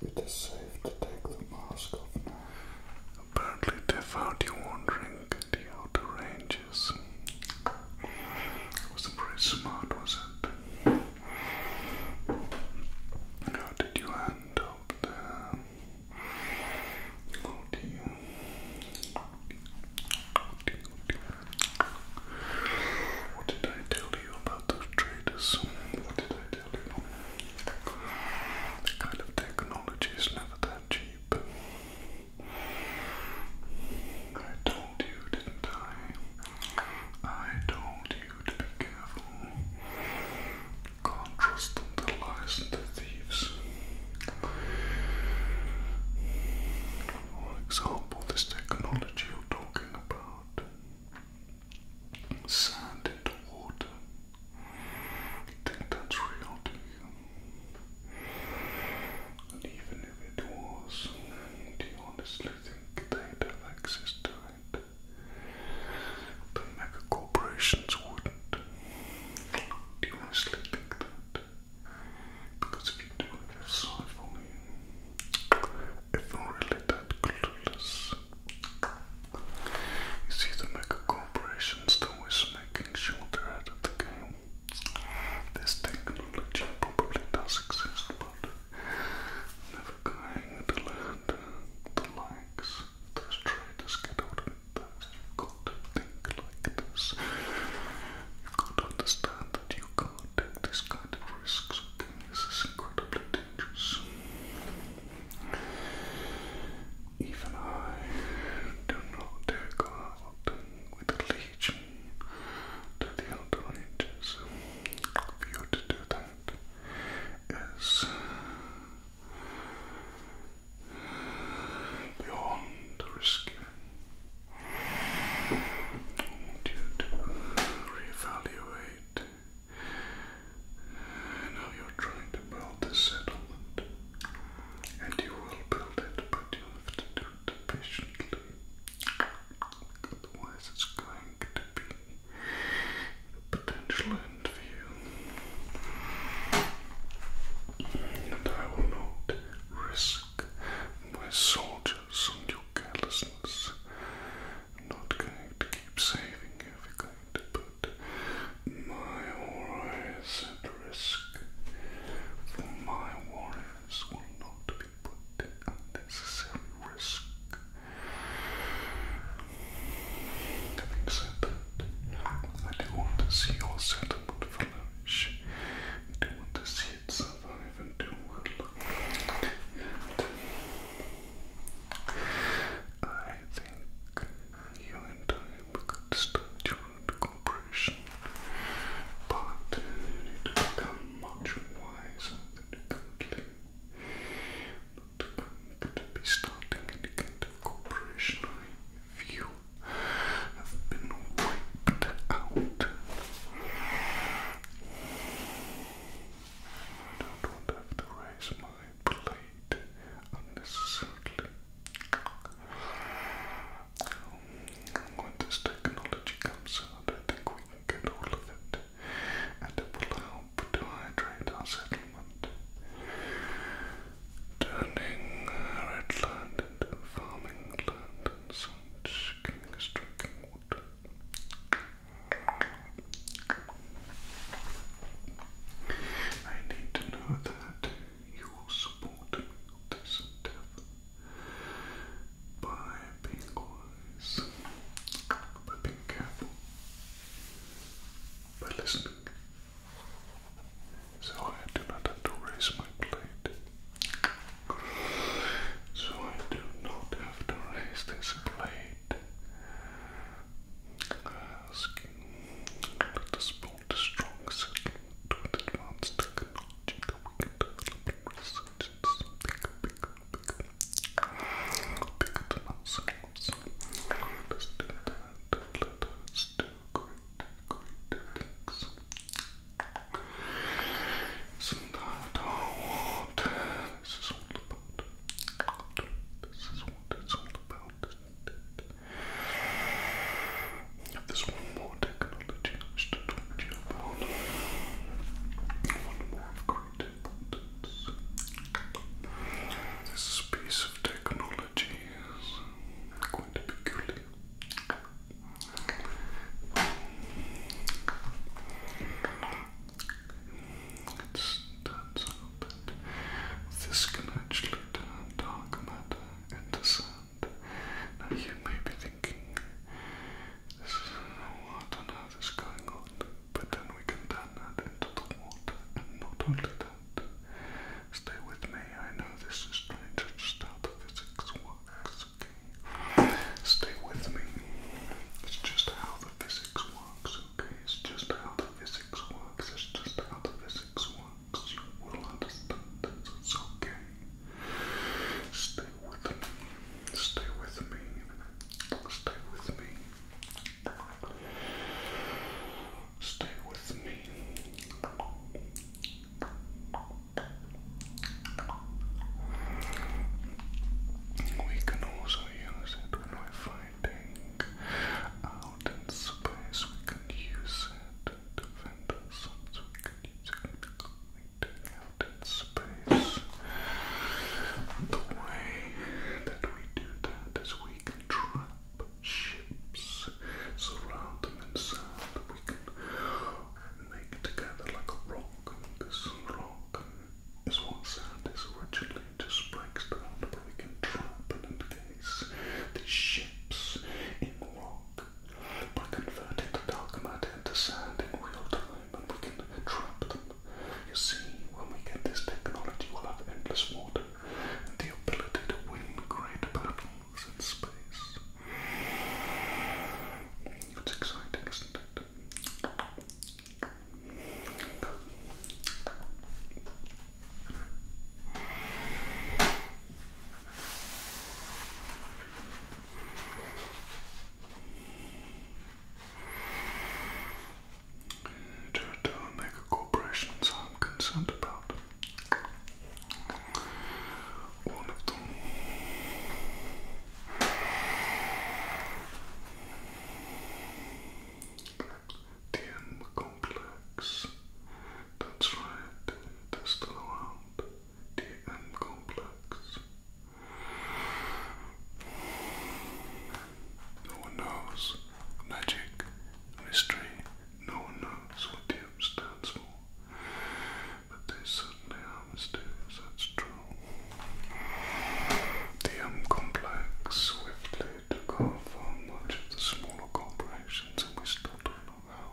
It is safe to take the mask off now. Apparently they found you wandering the outer ranges. Wasn't very smart, was it? How did you end up there? What did I tell you about? lot of traders. What did I tell you? That kind of technology is never that cheap. I told you, didn't I? I told you to be careful. Can't trust them to lies and to thieves. For example, this technology you're talking about sand into water. You think that's real And even if it was, do you honestly think they'd have access to it? The mega corporations wouldn't. Do you honestly think that? Because if you do, it will side for even really that clueless. It's either mega corporations that always making sure they're out the game. This technology probably does exist, but never going to let the likes those traders get out of it. You've got to think like this. You've got to understand that you can't take these kind of risks, okay? This is incredibly dangerous. Even I do not go out with a legion to the outer ranges. For you to do that is beyond risky. I you to reevaluate now you're trying to build this settlement, and you will build it, but you have to do it patiently. Otherwise, it's going to be a potential end for you. And I will not risk my soldiers and your carelessness I'm not going to keep saving everything to put my allies at risk, my warriors will not be put at unnecessary risk. Having said that, I do want to see your settlement flourish. I do want to see it survive even I think you and I could start your own but you need become much wiser than you currently. to be starting any kind of corporation. I view have been wiped out. I don't want to have to raise my plate unnecessarily. Um, when this technology comes out, I think we can get all of it, and it will help to hydrate our settlement. Turning Redland into farming land and such, giving water. I need to know that you will support this endeavor by being wise, by being careful, by listening. So I do not have to raise my plate. So I do not have to raise this razor blade. Asking, let us build a strong settlement with advanced technology that we can develop and research into something bigger, bigger, bigger than ourselves. Let us do that. Let us do great, great things. Isn't that hard? this is all about. This is what it's all about, isn't it? If there's one more technology I wish to talk to you about, one more of great importance. This piece of technology is quite peculiar. It's turns out that this can actually turn dark matter into sand. Now you may be thinking, this is, oh, I don't know what's going on, but then we can turn that into water, and not only that, stay with me, I know this is strange, it's just how physics works it's okay. Stay with me. It's just how the physics works, okay? It's just how the physics works. It's just how the physics works. You will understand this. It's okay. Stay with me. Stay with me. Stay with me. Stay with me. We can also use it when we're fighting out in space. We can use it to vent ourselves. We can use it fighting out in space. The way that we do that is we can trap ships, surround them in sand. We can make together like a rock and rock is one sound is originally. Just breaks down but we can trap and case the ships in rock by converting the dark matter into sand in real time, and we can trap them. You see, when we get this technology, we'll have endless water and the ability to win great battles in space. It's exciting, isn't it? To make a I'm concerned about. One of them DM complex. That's right, that's still around. DM complex. No one knows. Magic, mystery, no one knows what DM stands for but they certainly are mysterious, that's true. The M complex swiftly took off much of the smaller corporations, and we still don't know how.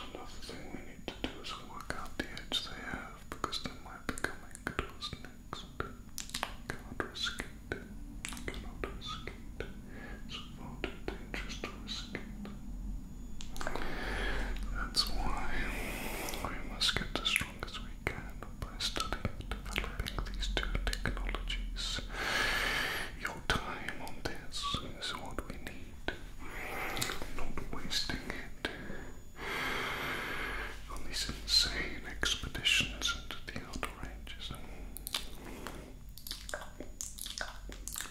Another thing we need to do is work out the edge they have, because they might be coming to us next. Cannot risk Cannot risk It's far too dangerous to risk that's why we must get as strong as we can by studying and developing these two technologies. Your time on this is what we need. Not wasting it on these insane expeditions into the outer ranges.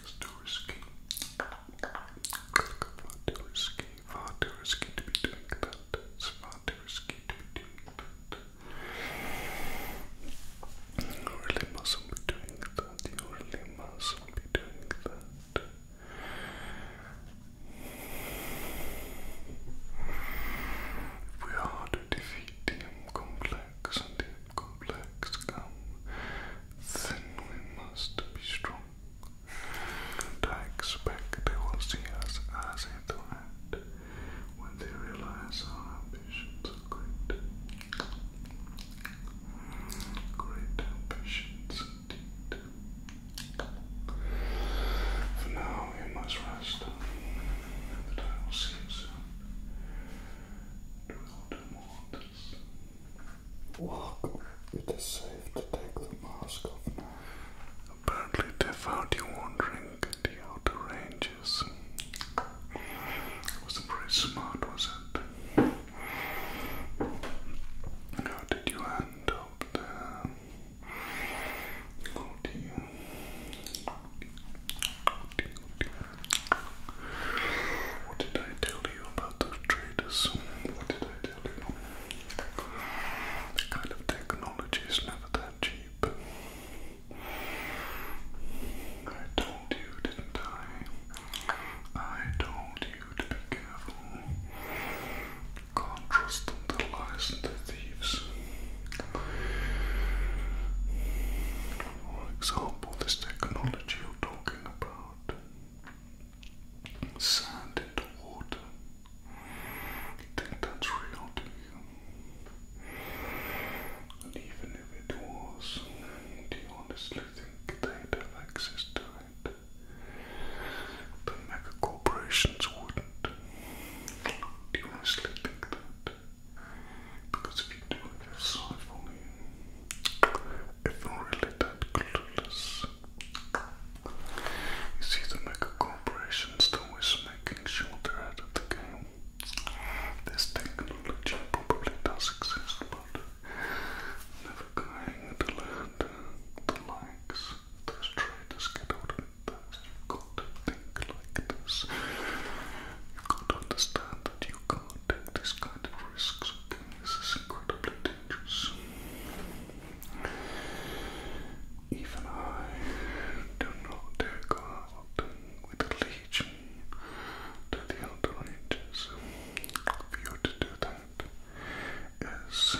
It's too risky. Far too risky, far be doing that. It's far too risky be doing that. If we are to defeat DM Complex and DM Complex then we must be strong. I expect they will see us as a threat when they realize our ambitions are great. Great ambitions indeed. For now, you must rest, and I will see you soon. do more than Welcome. It is safe to take the mask off now. Apparently they found you wandering the outer ranges. Wasn't very smart, was it? How did you end up there? What did I tell you about? other traders. What did I tell you? That kind of technology is never that cheap. I told you, didn't I? I told you to be careful. Can't trust them to lies and to thieves. For example, this technology you're talking about sand into water. You think that's real even if it was, do you honestly think they'd have access to it? The mega corporations wouldn't. Do you honestly think that? Because if you do, you're sorry I'm really that clueless. It's either mega corporations that always making sure they're out the game. This technology probably does exist, but never going to let the likes those traders get out of it. You've got to think like this. You've got to understand that you can't take these kind of risks. This is incredibly even I do not dare go out with a to the outer For you to do that is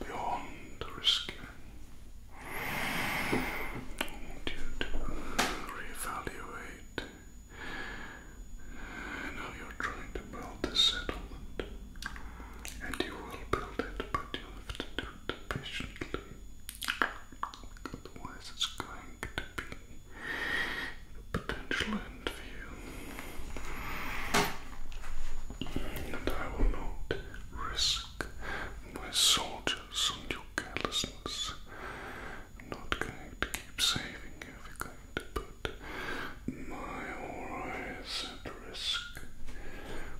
beyond risky. I you to reevaluate now you're trying to build this settlement, and you will build it, but you have to do it patiently. Otherwise, it's going to be the potential end for you. And I will not risk my soldiers on your carelessness not going to keep saving you if you're going to put my worries at risk.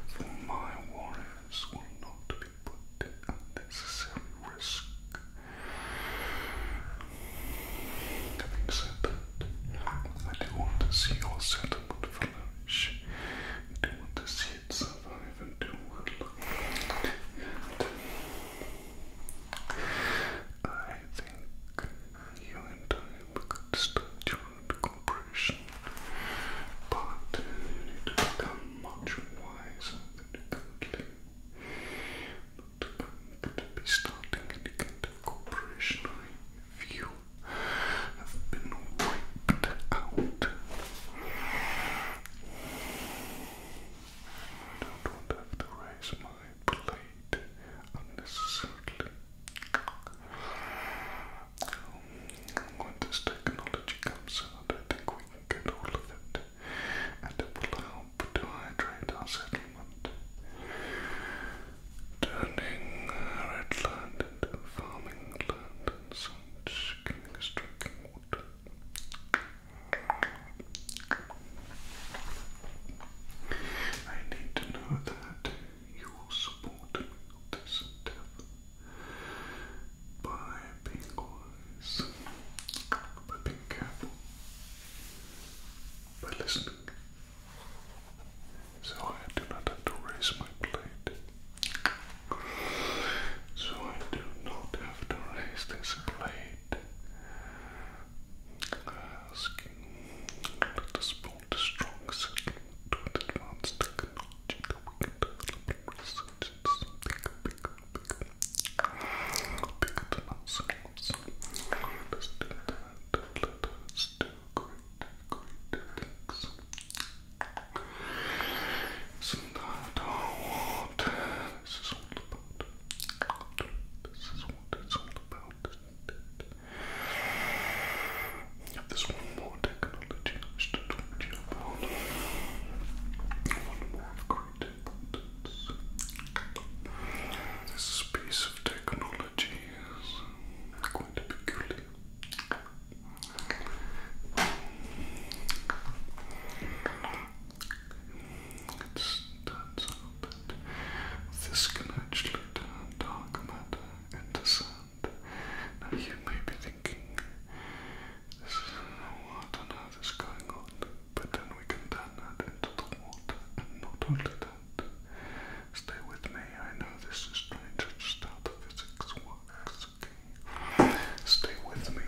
For my worries will not be put at unnecessary risk. Having said that, I do want to see your settlement flourish. I do want to see it I think you and I could start your own but you need to become much wiser than you currently. But to be starting any kind of corporation. I you have been wiped out. I don't want to have to raise my plate unnecessarily. When this technology comes out, I think we can get all of it, and it will help to hydrate our settlement, turning Redland into farming land and such, giving us I need to know that you will support me on this endeavor by being wise, by being careful, by listening. So I do not have to raise my plate. So I do not have to raise this blade. Asking, let us strong settlement with advanced technology that we can develop and research into something bigger, bigger, bigger than ourselves. Let us do that. Let us do great, great things. Isn't that guys is all about. This is what it's all about, isn't it? Now, there's one more technology I wish to talk to you about. One more of great importance. This piece of technology is quite peculiar. It's turns out that this can actually turn dark matter into sand. Now you may be thinking, this is, what on earth is going on? But then we can turn that into the water, not only that. Stay with me, I know this is strange, just how the physics works it's okay. Stay with me.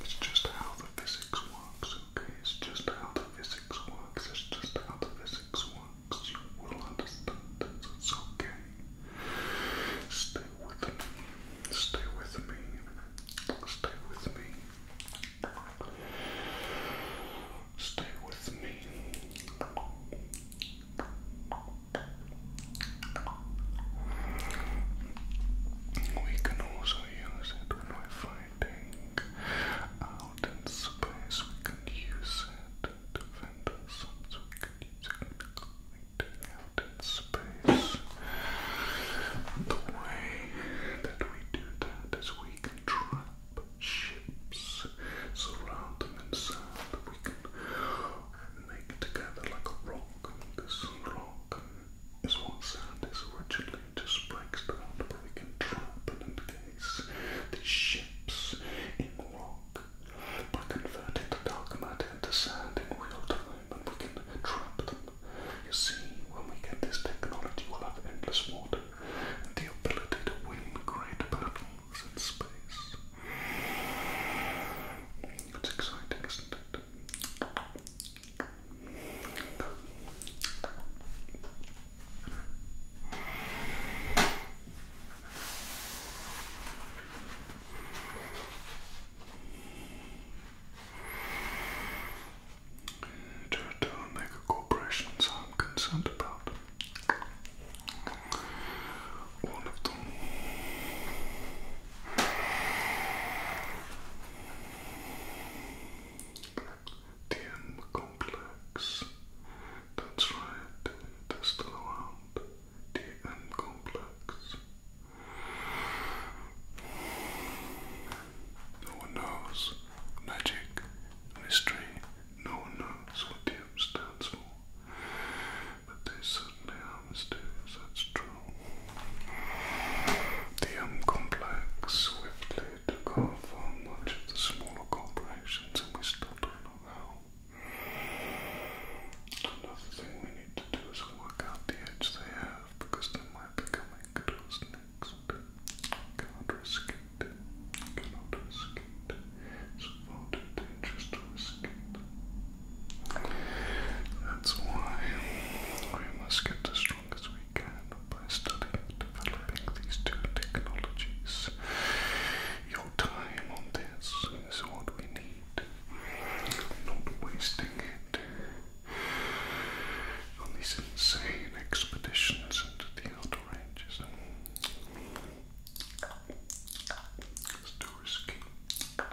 It's just how the physics works, okay? It's just how the physics works. It's just how the physics works. You will understand this. It's okay. Stay with me. Stay with me. Stay with me. Stay with me. We can also use it when we're fighting out in space. We can use it to vent ourselves. We can use it fighting out in space. The way that we do that is we can trap ships, surround them in We can make it together like a rock. And rock is what sand is originally just breaks but we can trap and case the ships in rock by converting the dark matter into sand in real time and we can trap them. You see, when we get this technology we'll have endless water and the ability to win great battles in space. It's exciting, isn't it? To return make a corporation sound about one of them. TM complex. That's right, That's the around. TM complex. No one knows magic, mystery, no one knows what TM stands for but they certainly are mysterious, that's true. The M complex swiftly took off much of the smaller corporations, and we still don't know how. Another thing we need to do is work out the edge they have, because they might be coming to us next. Cannot risk Cannot risk it. far too dangerous to risk that's why we must get as strong as we can by studying and developing these two technologies. Your time on this is what we need. Not wasting it on these insane expeditions into the outer ranges. It's too risky.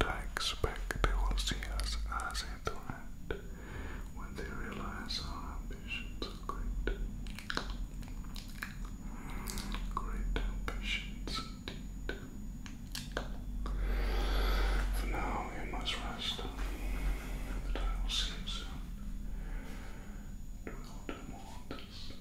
I expect they will see us as a threat when they realize our ambitions are great. Great ambitions indeed. For now, you must rest, but I will see you soon. We will do more of this.